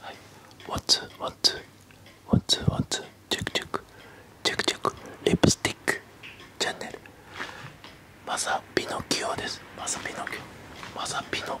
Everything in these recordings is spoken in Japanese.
はいワンツーワンツーワンツーワンツーチェックチェックチェクチェクリプスティックチャンネルまさピノキオですまさピノキオまさピノ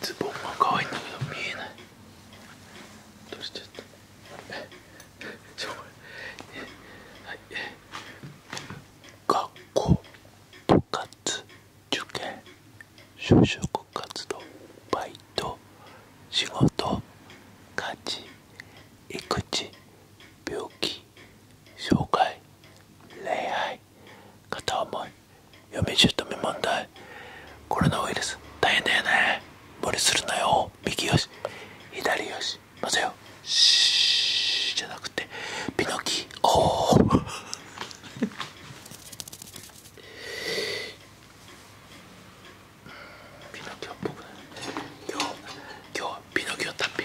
ズボンが可愛いんだけど見えないどうしちゃったえちょえはいえ学校部活受験就職活動バイト仕事家事育児病気障害恋愛片思い嫁姑問題コロナウイルス大変だよね無理するなよ右よし左よし混ぜよシーじゃなくてピノキおおピノキオっぽくない今日今日はピノキオ単品。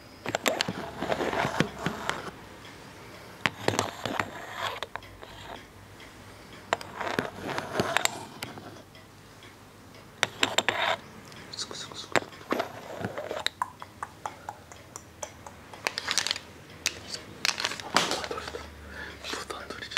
すくすくすくしたことはとれたことはとれてきた。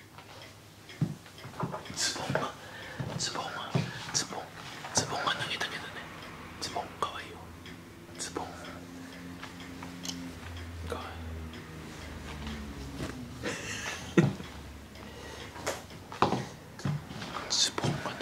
ズボンがズボンがズボンズボンが投げたけどねズボンかわいよズボンかわいいズボンが投げて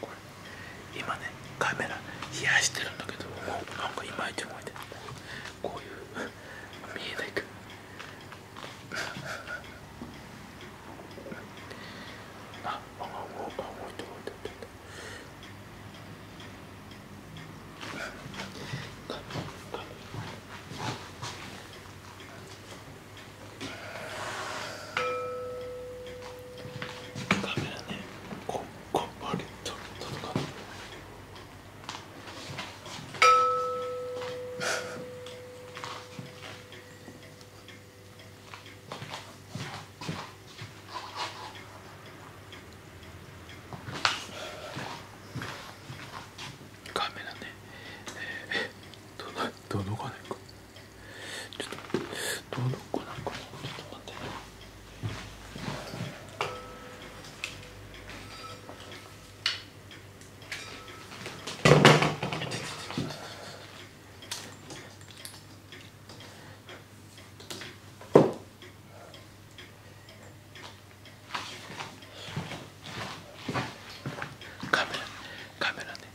これ今ねカメラ冷やしてるんだけどなんかいまいち動いてこういう見えないか ああ動いて動いて動いて動いて。カメカメラねこバリッと届かないカメラね、えー、どどのかないか。ちょっとどうどこなんかちょっと待ってカメラカメラね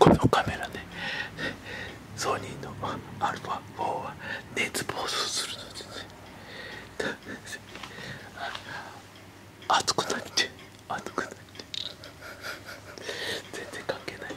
このカメラねソニーのアルファ4は熱暴走するので熱くなって熱くなって全然関係ないね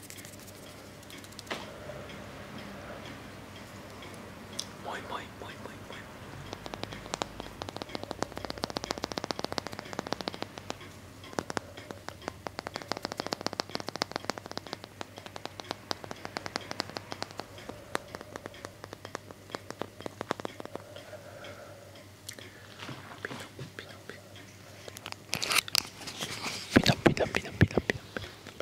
もいもいもいもいもいピノピノピノピノピノピノピノピノピノ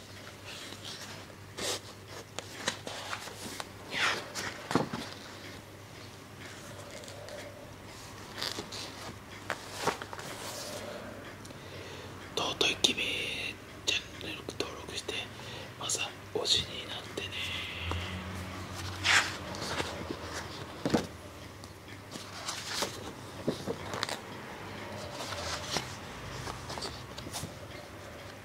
う尊いきべチャンネル登録してまずは推しになってね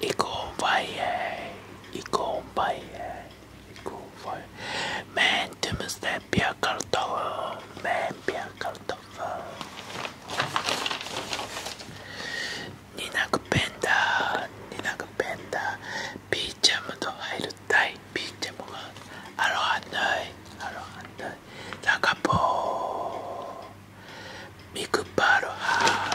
y convalle y convalle y convalle men temizden bir kartofel men bir kartofel ninak benda ninak benda bir camı da ayrıttay bir camı var arohanday arohanday takapo ミクパルハ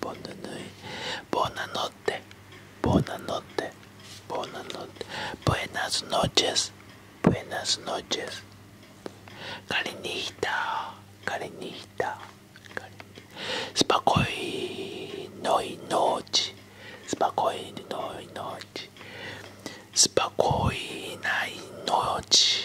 ボナヌイボナノッテボナノッテボナノッテブエナスノーチェスブエナスノーチェスカリニヒタカリニヒタスパコイノイノーチスパコイノイノーチスパコイナイノーチ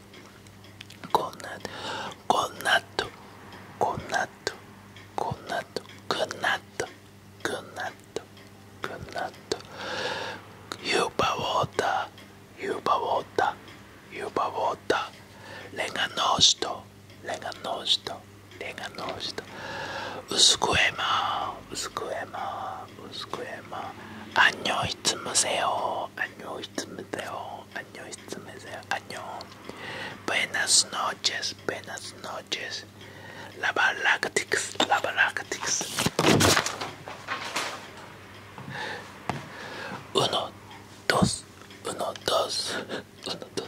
こんなこんなとこんなとこんなとこんなとこんなとこんなとユーバウォーターユーバウォーターユーバウォーターレガノーシトレガノーシトレガノーシトウスクエマウスクエマウスクエマアンニョイツムセヨアンニョイツムセヨ año, este año. Buenas noches, buenas noches. La Balactix, la balactics Uno, dos, uno, dos, uno, dos.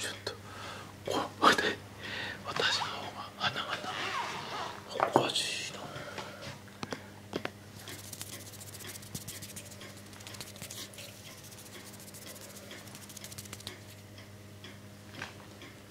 ちょっとここで私の方が鼻がおかしいな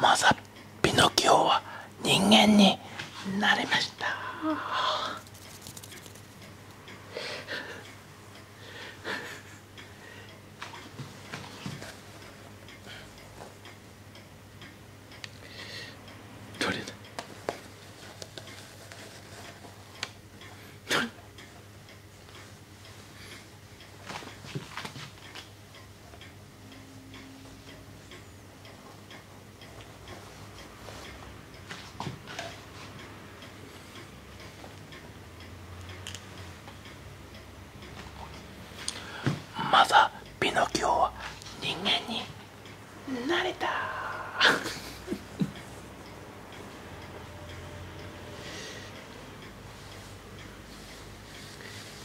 マザピノキオは人間になれましたどれだどれまだピノキオは人間になれた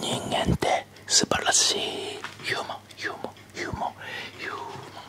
人間って素晴らしいヒューマンヒューマンヒューマンヒューマンヒューマン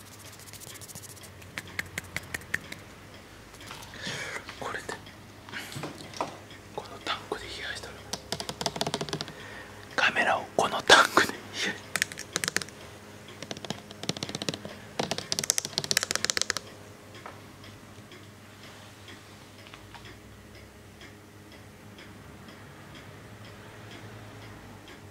これでこのタンクで冷やしたらカメラをこのタンクで冷やした